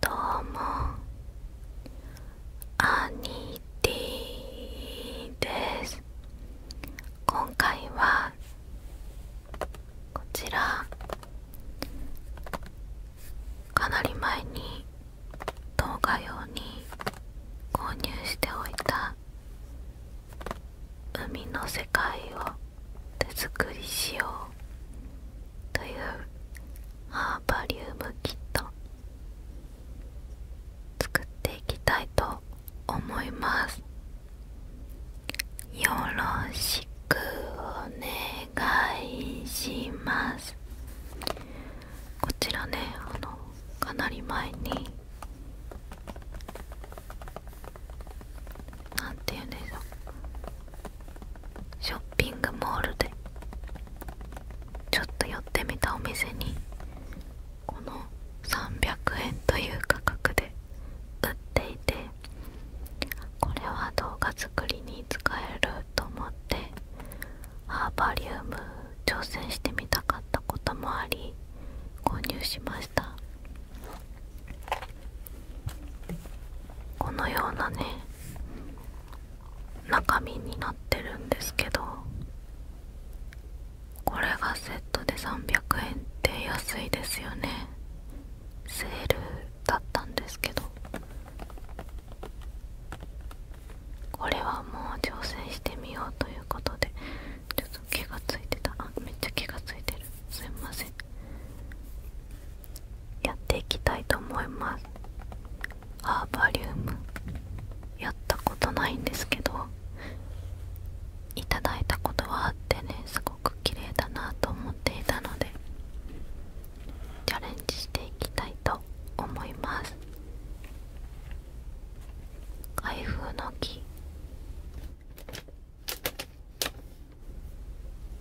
どうもアニティです今回はこちらかなり前に動画用に購入しておいた海の世界を手作りしようというハーバリウムキット作っていきたいと思いますよろしくお願いしますこちらねあのかなり前になんて言うんでしょうショッピングモールでちょっと寄ってみたお店にこの300円という価格で売っていてこれは動画作りに使えると思ってハーバリウム挑戦してみたかったこともあり購入しましたこのようなね中身になってるんですけどこれがセットで300円って安いですよねセールだったんですけどこれはもう挑戦してみようということでちょっと毛が付いてたあめっちゃ毛が付いてるすいませんやっていきたいと思いますアーバリウムやったことないんですけどいただいたことはあってねすごく綺麗だなと思っていたのでチャレンジしていきたいと思います開封の木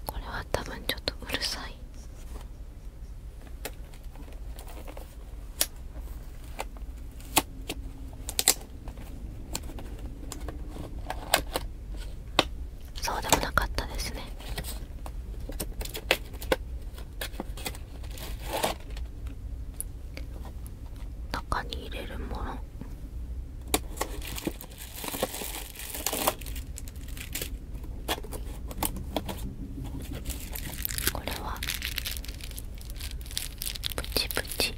これは多分ちょっとうるさいそうでもなかったですね中に入れるものこれはプチプチ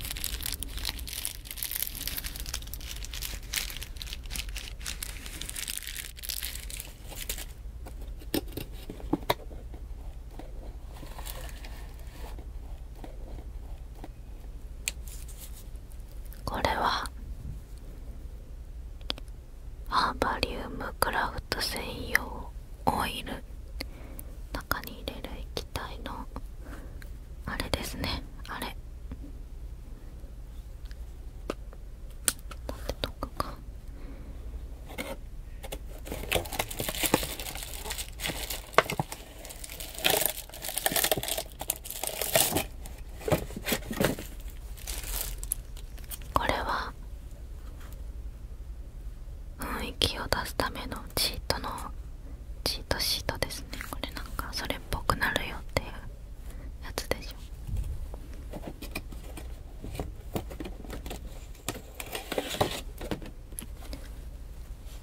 これはハーバリウムクラフト専用オイル中に入れる液体のあれですねあれどこかこれは雰囲気を出すためのチートのチートシートですねこれなんかそれっぽくなるよっていうやつでしょ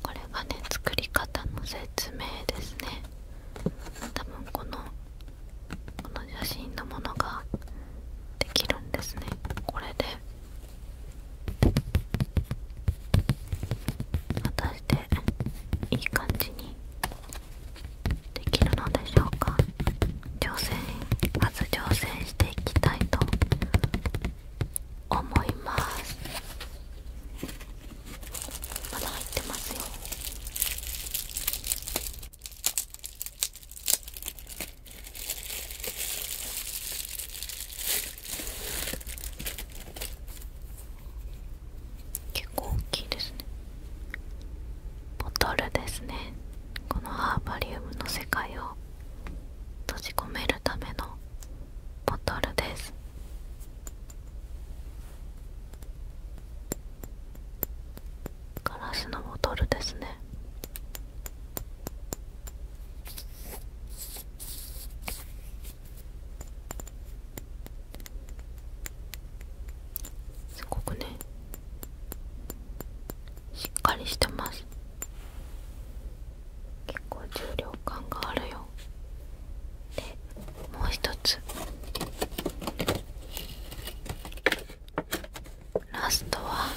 これがね作り方の説明ですね多分このこの写真のものができるんですねこれで果たしていい感じにできるのでしょうか挑戦まず挑戦していきたいと思いますまだ入ってますよ結構大きいですねボトルですねこのハーバリウムの世界を閉じ込めるためのボトルですガラスのボトルですねすごくねしっかりしてます結構重量感があるよでもう一つラストは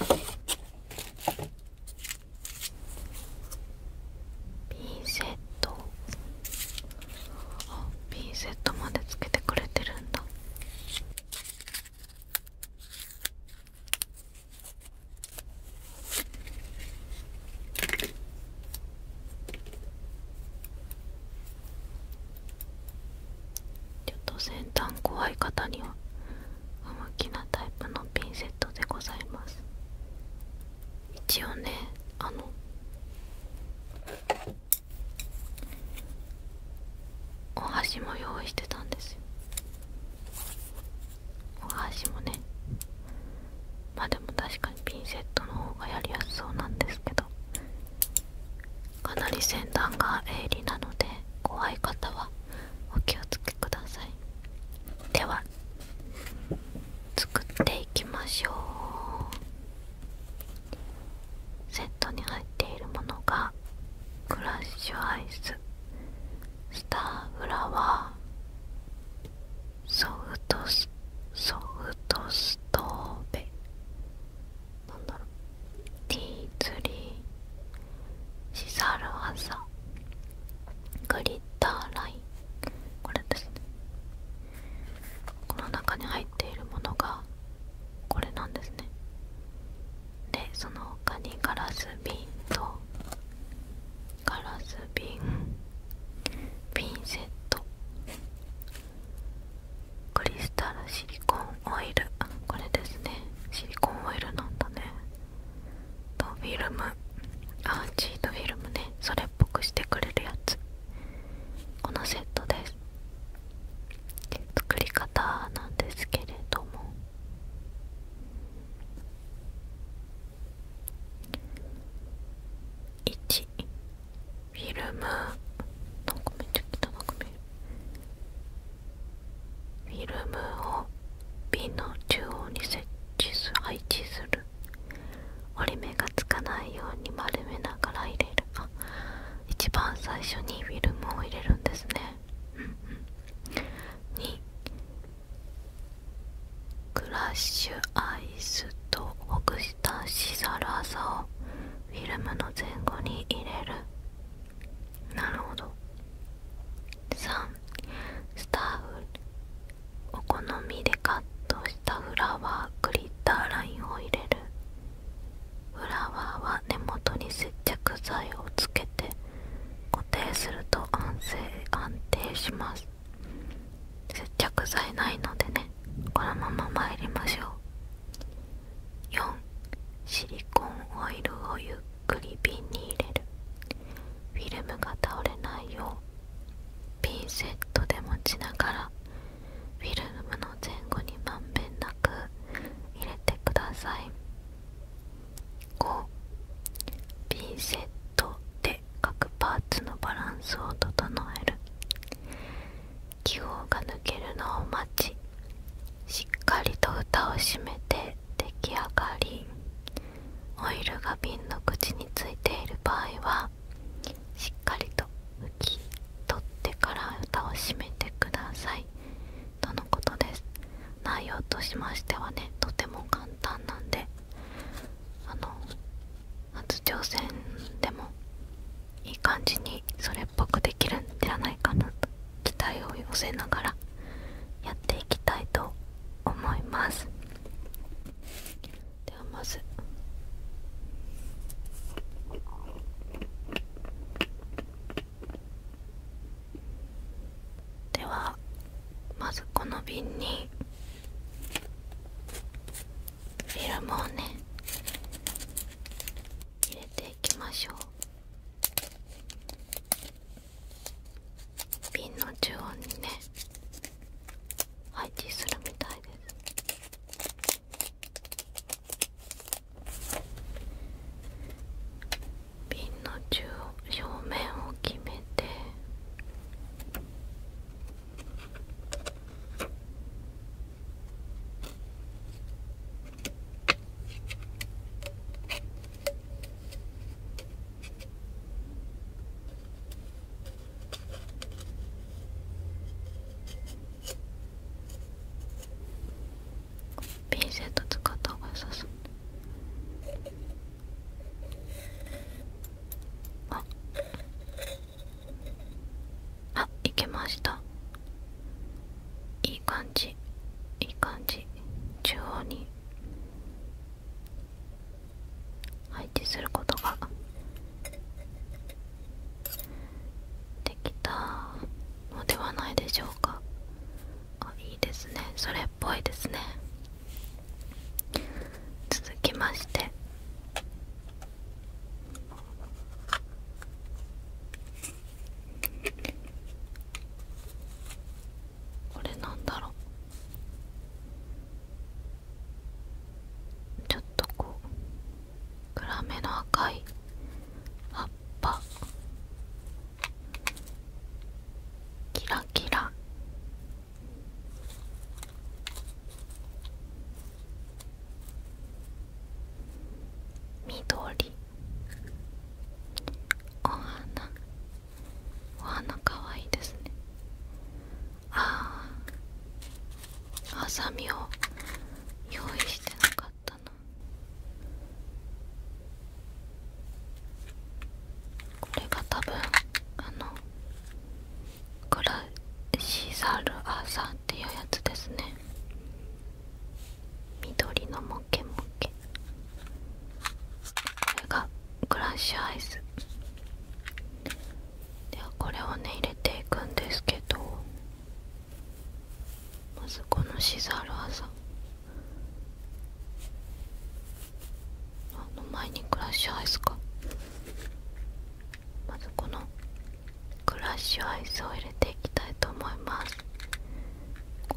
ピンセットあピンセットまでつけてくれてるんだちょっと先端怖い方には不向きなタイプのピンセットでございます一応ねあのお箸も用意してたんですよお箸もねまあでも確かに。ピンセットの方がやりやすそうなんですけどかなり先端が鋭利なので怖い方はお気をつけくださいでは作っていきましょうセットに入っているものがクラッシュアイススターフラワーソフトスソフトストーベなんだろうティーツリーシサルワサグリッターラインこれですねこの中に入っているものがこれなんですねでその他にガラス瓶とガラス瓶ピンセットクリスタルシリコンオイルこれですねシリコンオイルなんだねとフィルムアあチとフィルムねそれっぽくしてくれるやつこのセットです作り方なんですけれども1フィルムを瓶の中央に設置する折り目がつかないように丸めながら入れるあ一番最初にフィルムを入れるんですねう2クラッシュアイ。イスとほしたしざらさをフィルムの前後に入れるなるほど3スターフルお好みでカットしたフラワーグリッターラインを入れるフラワーは根元に接着剤をつけて固定すると安静安定します接着剤ないのでねこのまま参りましょう4シリコンオイルをゆっくり瓶に入れるフィルムが倒れないようピンセットで持ちながらフィルムの前後にまんべんなく入れてください5ピンセットで各パーツのバランスを整える気泡が抜けるのを待ちしっかりと歌を締めて出来上がりオイルが瓶の口についている場合はしっかりと拭き取ってから歌を締めてくださいとのことです内容としましてはねとても簡単なんであの初挑戦でもいい感じにそれっぽくできるんではないかなと期待を寄せながらやっていきたいと思いますではまずではまずこの瓶にフィルムをね入れていきましょう瓶の中央にね配置するみたいです瓶の中央正面を決めてピンセット使った方が良さそうああいけましたいい感じいい感じ中央に配置することができたのではないでしょうかあいいですねそれっぽいですね続きましてこれなんだろうちょっとこう暗めの赤い葉っぱキラキラ緑お花お花かわいいですねああハサミを用意してなかったなこれが多分あのクラシザルアサっていうやつですね緑のモケモケこれがクラッシュアイスではこれをね入れていくんですけどまずこのシザルアサあの前にクラッシュアイスかまずこのクラッシュアイスを入れていきたいと思います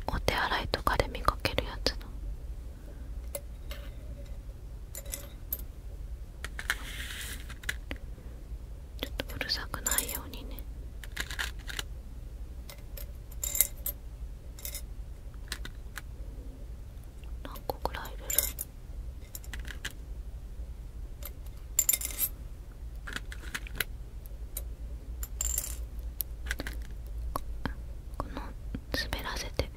お手洗いとかで見かけるやつのちょっとうるさくないようにね何個ぐらい入れるこの滑らせて。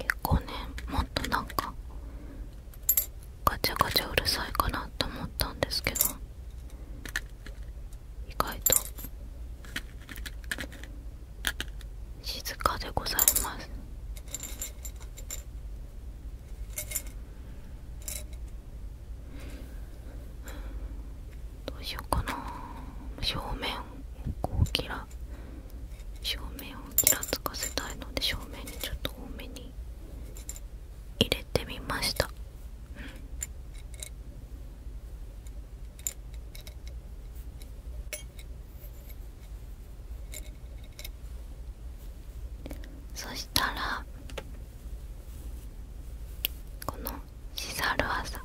結構ねもっとなんかガチャガチャうるさいかなと思ったんですけど意外と静かでございますどうしようかな正面をこう、キラ正面をキラつかせたいので正面にちょっと多めに入れてみましたそしたらこのしざるあさ。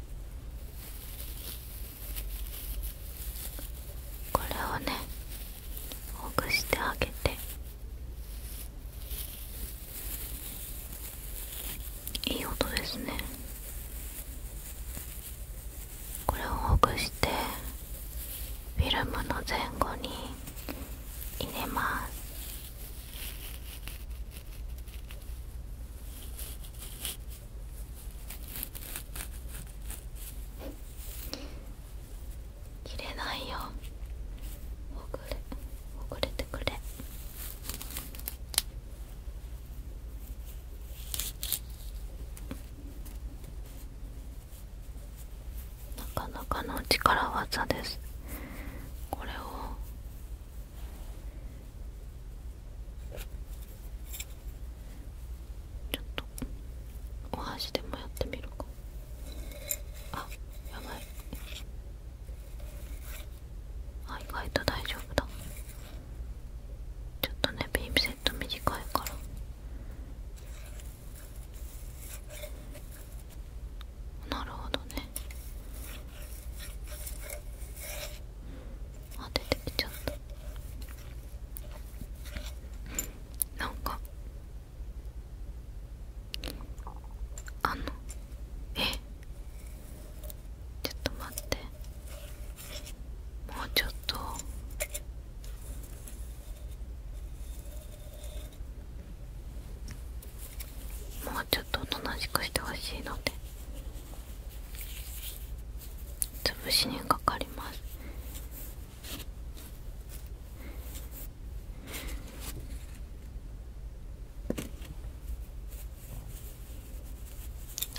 これをねほぐしてあげていい音ですねこれをほぐしてフィルムの前後に入れます切れないよほぐれほぐれてくれなかなかの力技ですこれをちょっとお箸でもやってみるかあやばいあ意外と大丈夫だちょっとねピンセット短いからなるほどねあ出てきちゃったなんかあのえちょっと待ってもうちょっともうちょっとおとなしくしてほしいので潰しにかかります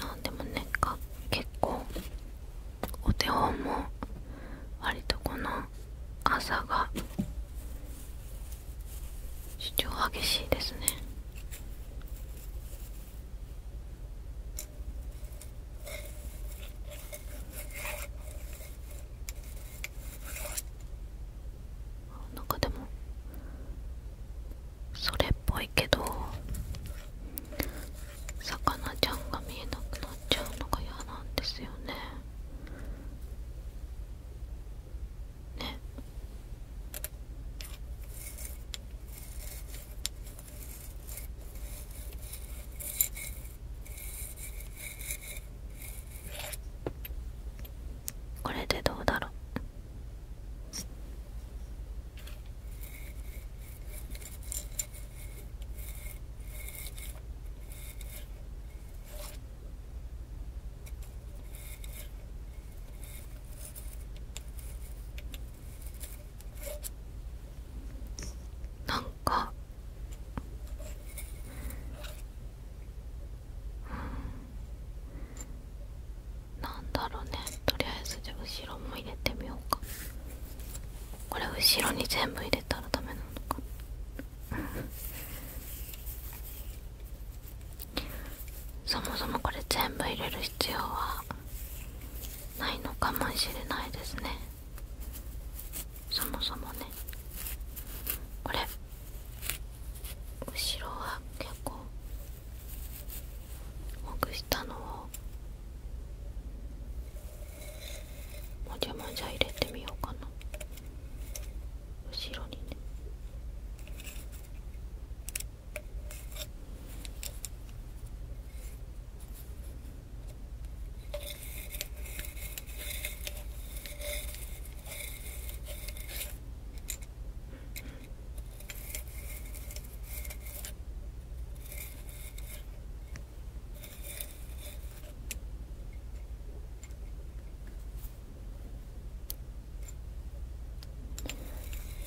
あでもねか結構お手本も割とこの朝が主張激しいですねなんかでもそれっぽいけど魚ちゃんが見えなくなっちゃうのが嫌なんですよねねこれでどうだろうなんかなんだろうねとりあえずじゃあ後ろも入れてみようかこれ後ろに全部入れたらダメなのかそもそもこれ全部入れる必要はないのかもしれないですねそもそもねこれ後ろは結構ほぐしたのをもじゃもじゃ入れてみようかな後ろにね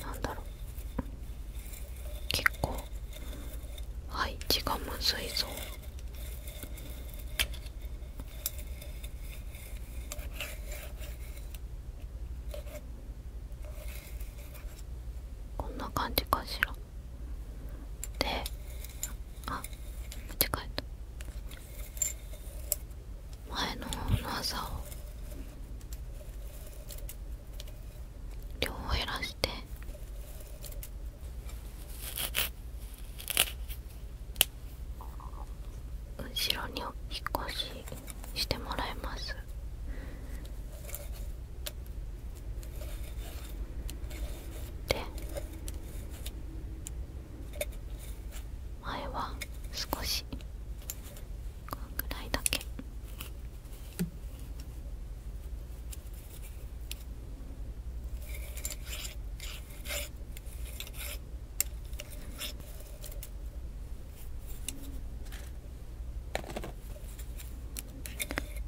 なんだろう結構はい字がむずいぞ。こんな感じかしらであ間違えた前の長さを量を減らして。後ろにお引っ越ししてもらいますで前は少しこんぐらいだけ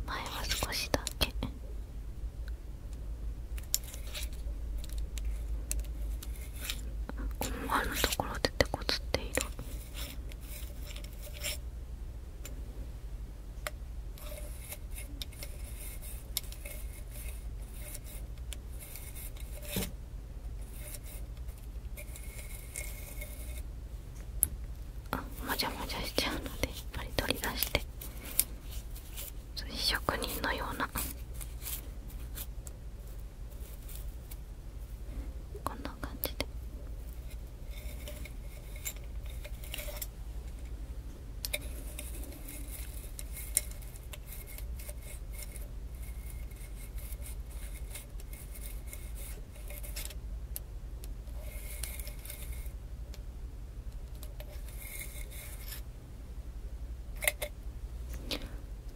前は少しだけ思わぬところで手こずっているあもじゃもじゃしちゃうのでやっぱり取り出して職人のようなこんな感じで。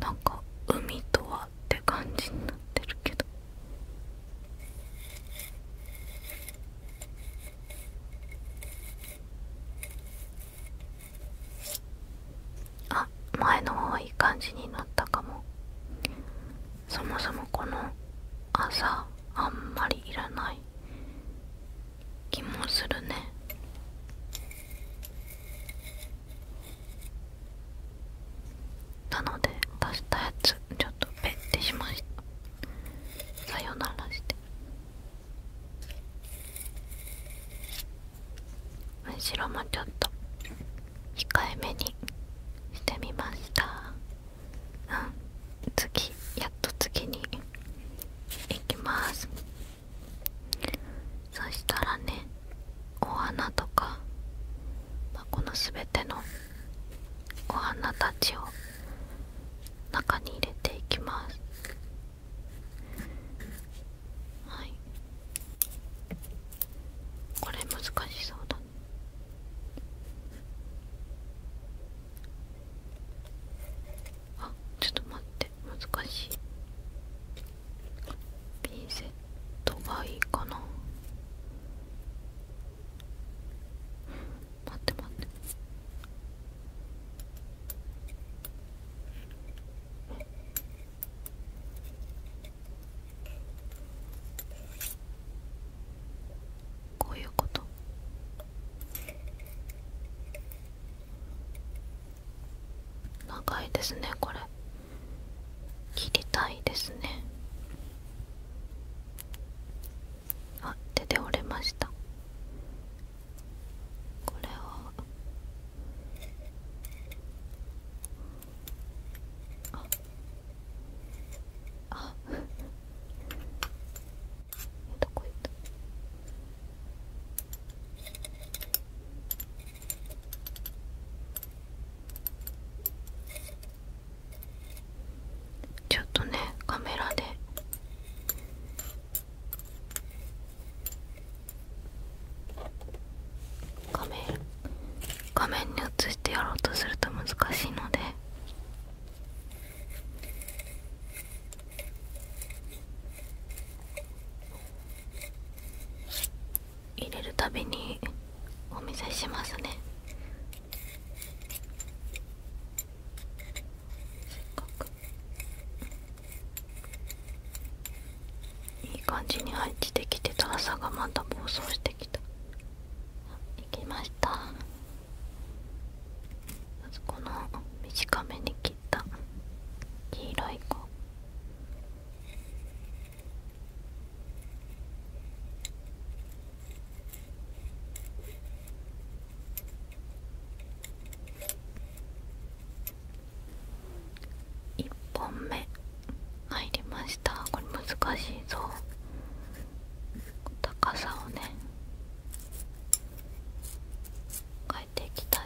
なんか海とはって感じになってるけど。あ前の方いい感じになったかもそもそもこの朝あんまりいらない気もするねなので出したやつちょっとペってしましたさよならして。後ろもちょっと控えめにしてみましたうん次やっと次に行きますそしたらねお花とか、まこの全てのお花たちを中に入れていきます。はいこれ難しそうだあちょっと待って難しいピンセットがいいかな待って待ってこういうこと長いですねこれ切りたいですねあ手で折れましたこれをああどこ行ったちょっとねカメラで画面画面に映してやろうとすると難しいので入れるたびにお見せしますね。せっかくいい感じに入ってきてたら、朝がまた暴走してきた行きましたまずこの短めに切った黄色い子1本目入りましたこれ難しいぞ高さをね変えていきたい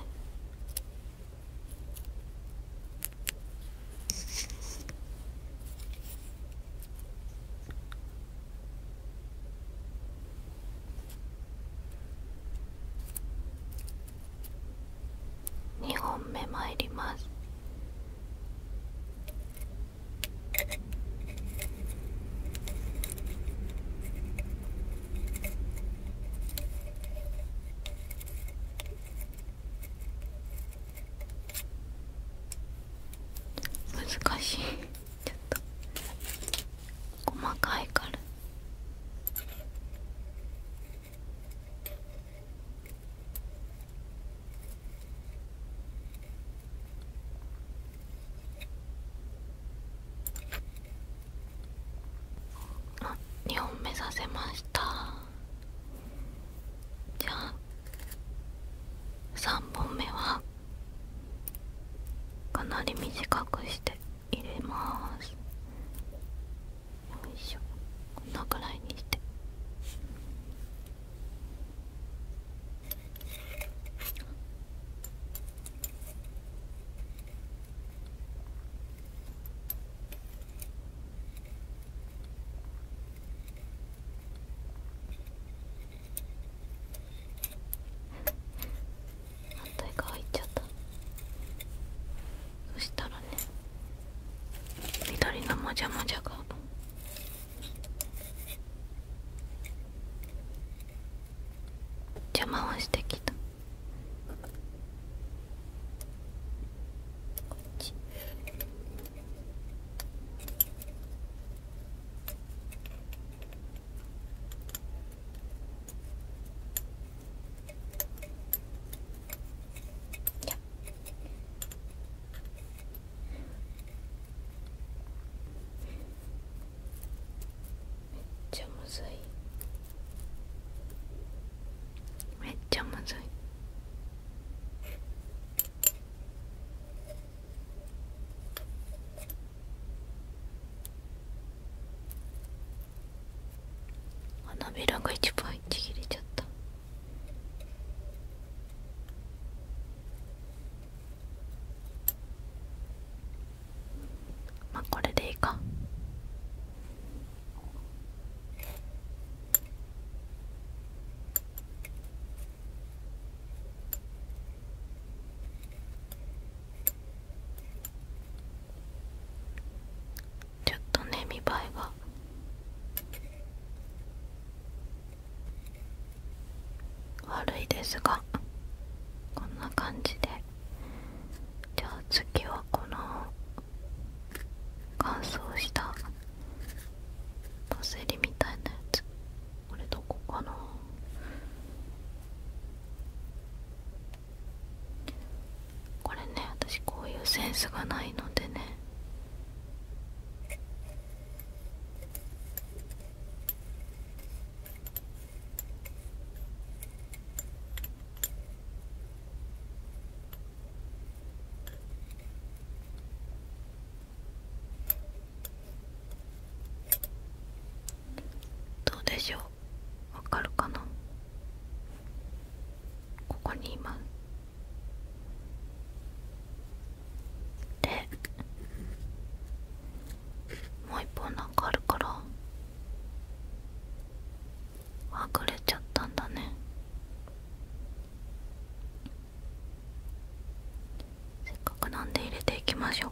2本目まいります難しいちょっと細かいから。あ2本目させましたじゃあ3本目はかなり短くして。入れますよいしょこんなくらいにして反対側行っちゃったそしたらね緑のもじゃもじゃが邪魔をしてきたこっちこめっちゃむずいめっちゃむずい花びらが一番ちぎれちゃったまあこれでいいかちょっとね見栄えが悪いですがこんな感じでじゃあ次はこの乾燥したパセリみたいなやつこれどこかなこれね私こういうセンスがないのでねどうでしょうわかるかなここにいますでもう一本なんかあるからはぐれちゃったんだねせっかくなんで入れていきましょう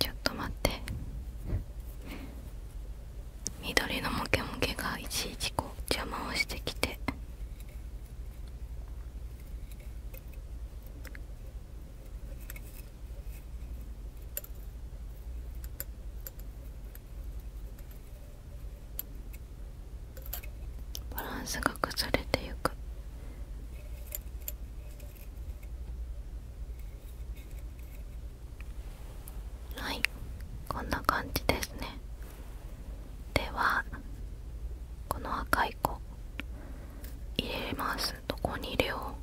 ちょっと待って緑のモケモケがいちいちこう邪魔をしてきてバランスが崩れてゆくはいこんな感じですねではこの赤い子入れますどこに入れよう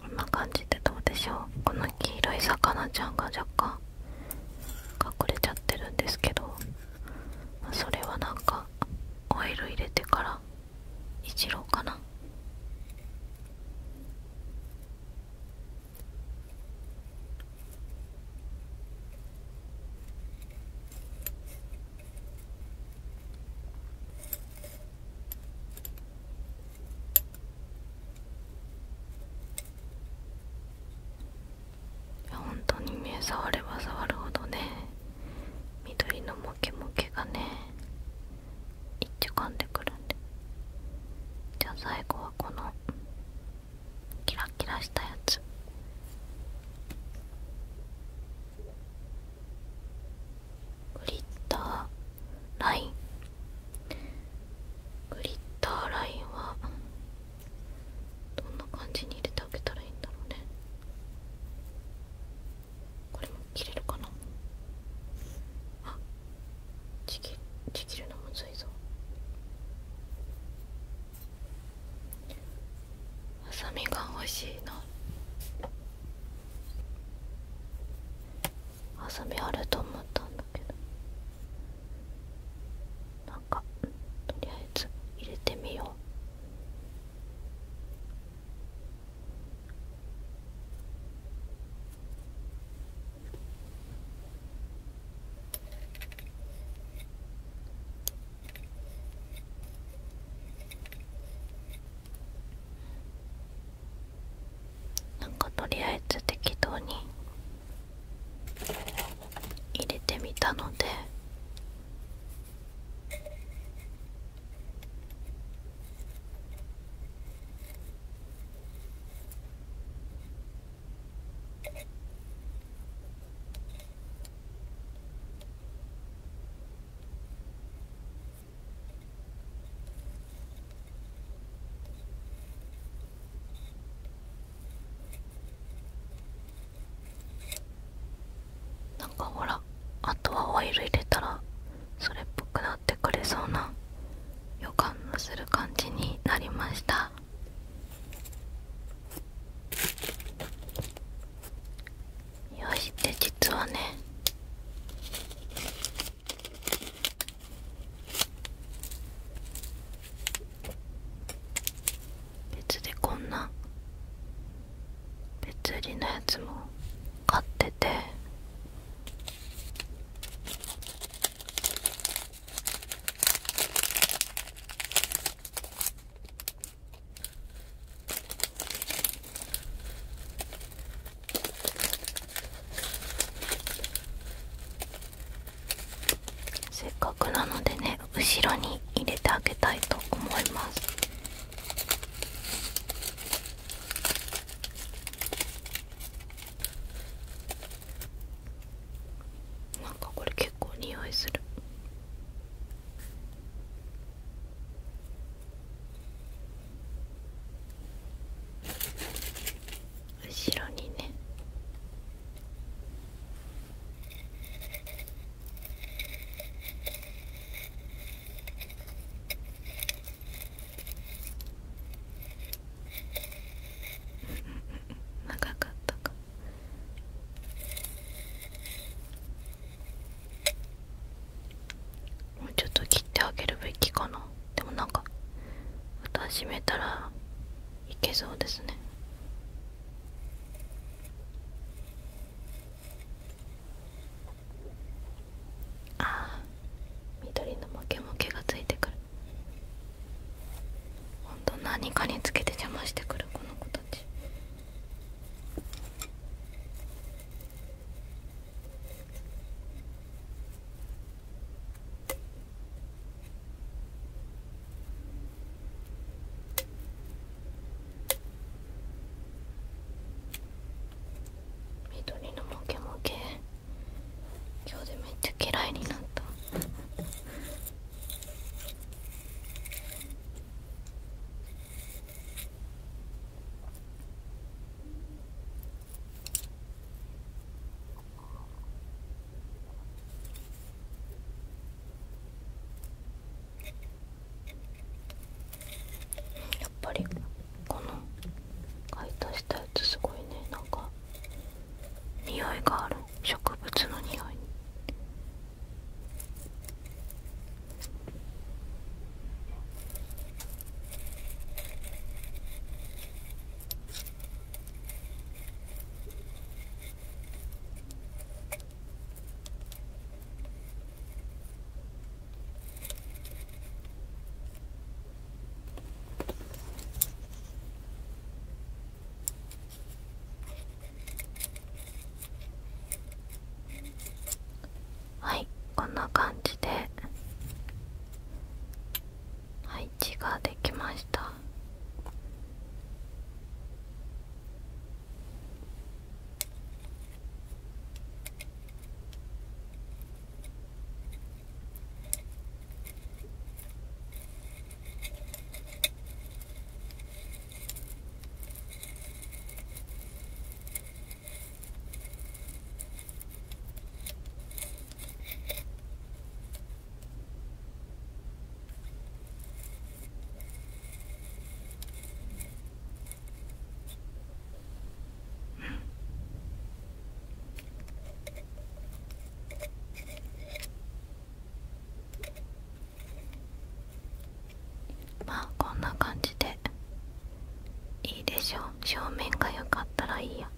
こんな感じでどうでしょうこの黄色い魚ちゃんが若干隠れちゃってるんですけどそれはなんかオイル入れてからいじろうかないや、本当に目触れば触るほどね緑のモケモケがね一丁噛んでくるんでじゃあ最後はこのキラキラしたやつグリッターライングリッターラインはどんな感じに入れてあげたらいいんだろうねこれも切れるかなあちぎちぎるのむずいぞハサミが欲しいなハサミあると思ったんだだなんかとりあえず入れてみよう。なんかとりあえず適当に入れてみたのでなんかほらあとはオイル入れたらそれっぽくなってくれそうな予感のする感じになりましたよしって、実はね別でこんな別売りのやつも買っててせっかくなのでね後ろに入れてあげたいと思いますなんかこれ結構匂いする後ろにね長かったもうちょっと切ってあげるべきかな。でもなんか歌始めたらいけそうですねああ緑のモケモケがついてくるほんと何かにつけて邪魔してくるこの子たち緑のモケモケ今日でめっちゃ嫌いになった。やっぱりこの解凍したやつすごいねなんか匂いがある植物の匂いはいこんな感じで配置ができましたまあこんな感じでいいでしょう正面が良かったらいいや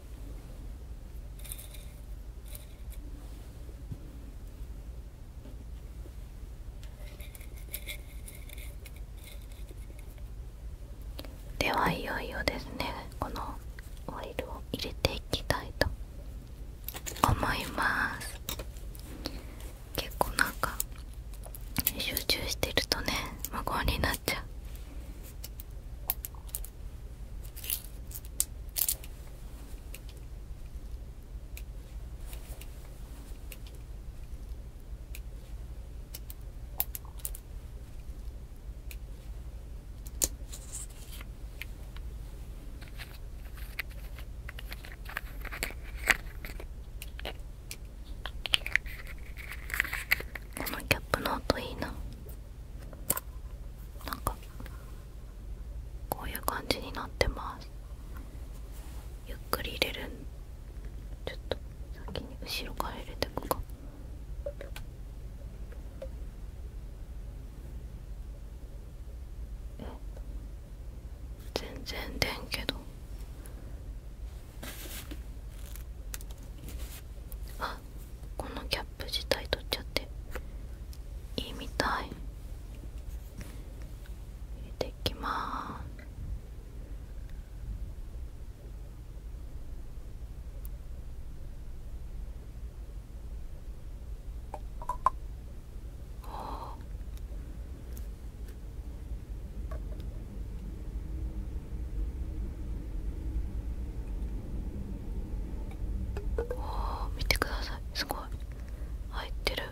ではいよいよですねこのオイルを入れていきたいと思います結構なんか集中してるとね無言になっちゃうこのキャップの音いいななんかこういう感じになってますゆっくり入れるちょっと先に後ろから入れていくかえ全然出んけどあこのキャップ自体取っちゃっていいみたい入れていきまーすおおお、見てくださいすごい入ってる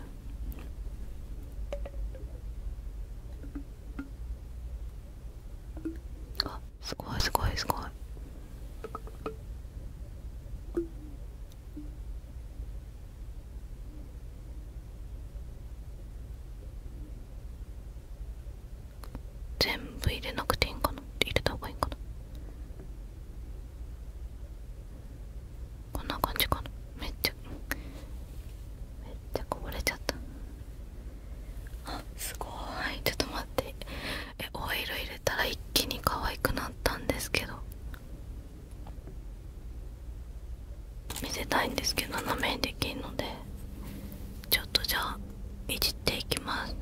あすごいすごいすごい全部入れなくていいんかな入れたほうがいいんかなこんな感じかなめっちゃめっちゃこぼれちゃったあすごいちょっと待ってえオイル入れたら一気に可愛くなったんですけど見せたいんですけど斜めにできるのでちょっとじゃあいじっていきます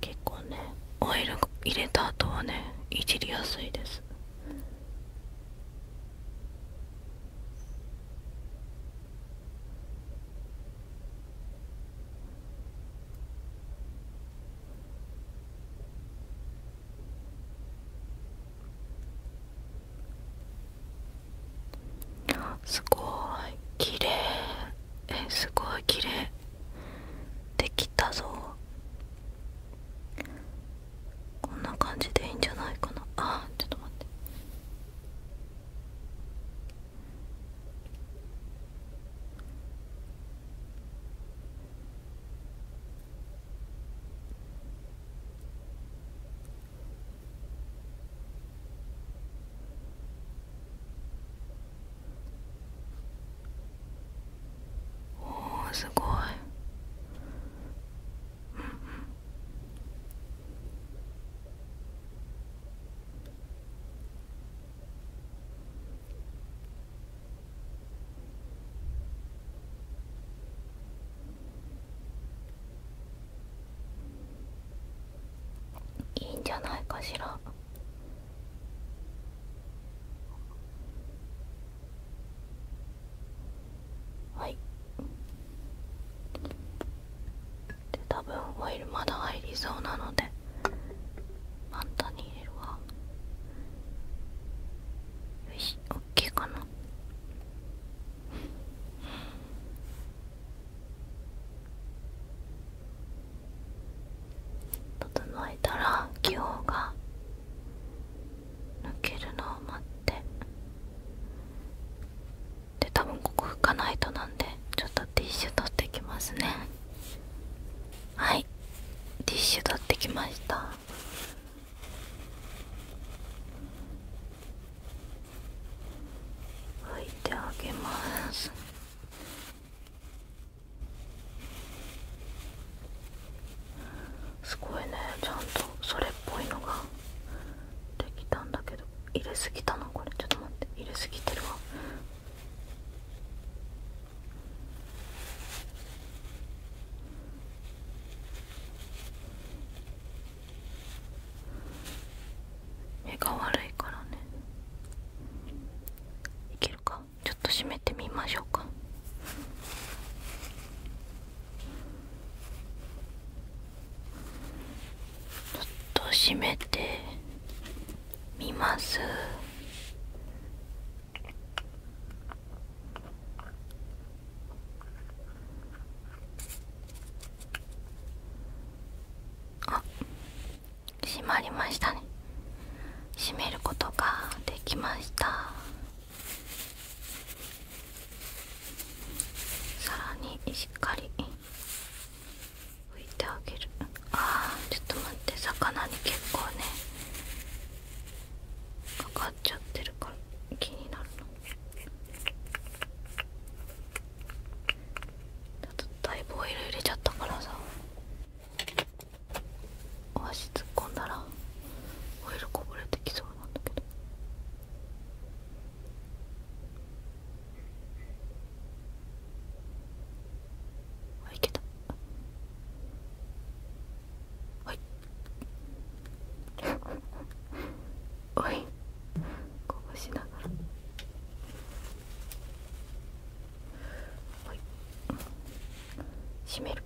結構ねオイル入れた後はねいじりやすいですすごい綺麗えすごい綺麗できたぞこんな感じでいいんじゃないかなあちょっと待ってあおおすごいうんうんいいんじゃないかしら。はいで多分オイルまだ入りそうなので簡単に入れるわよし OK かな整えたら気泡が抜けるのを待ってで多分ここ拭かないとなんでちょっとティッシュ取ってきますねはいティッシュ取ってきました拭いてあげますすごいねちゃんとそれっぽいのができたんだけど入れすぎたの、これちょっと待って入れすぎてるわ目が悪いからねいけるかちょっと閉めてみましょうかちょっと閉めてみますあ締まりましたね閉めることができましたさらにしっかり拭いてあげるあーちょっと待って魚に結構ねかかっちゃってるから気になるのだいぶオイル入れちゃったからさお足突っ込んだらオイルこぼれてきそうなんだけど。あ、い、いけた。はい。おいこぼしながら閉める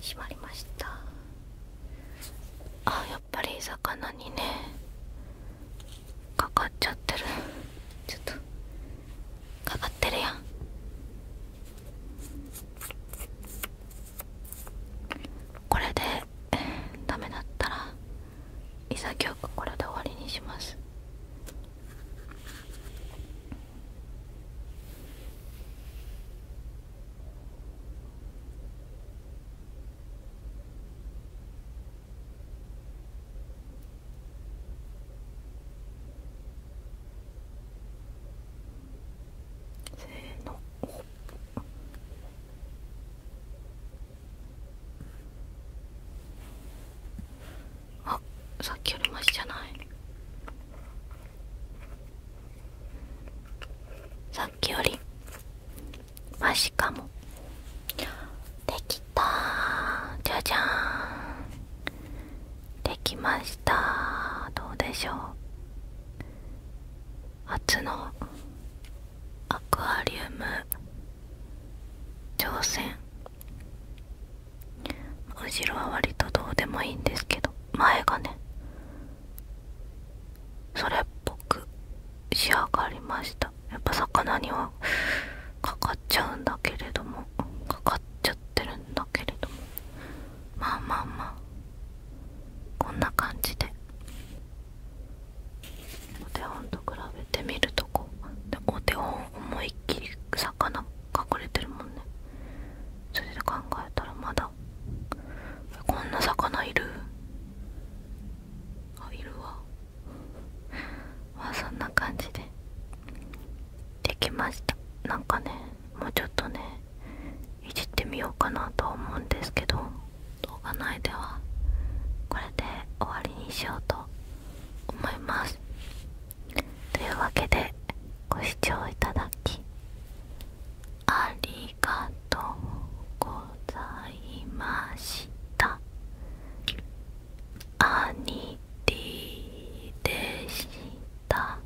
閉まりましたあやっぱり魚にねかかっちゃってるちょっとかかってるやんこれで、ダメだったら伊佐京子これで終わりにしますせのあさっきよりマシじゃないさっきよりマシかもできたじゃじゃんできましたどうでしょう初のアクアリウム挑戦後ろは割とどうでもいいんですけど前がねそれっぽく仕上がりましたやっぱ魚にはかかっちゃうんだけれどもかかっちゃってるんだけれどもまあまあまあこんな感じでお手本と比べてみるとこうお手本思いっきり魚隠れてるもんねそれで考えたらまだこんな魚いるあいるわまあそんな感じでできましたなんかねもうちょっとねいじってみようかなと思うんですけど動画内ではこれで終わりにしようと思いますというわけでご視聴いただきありがとうございました兄ニでした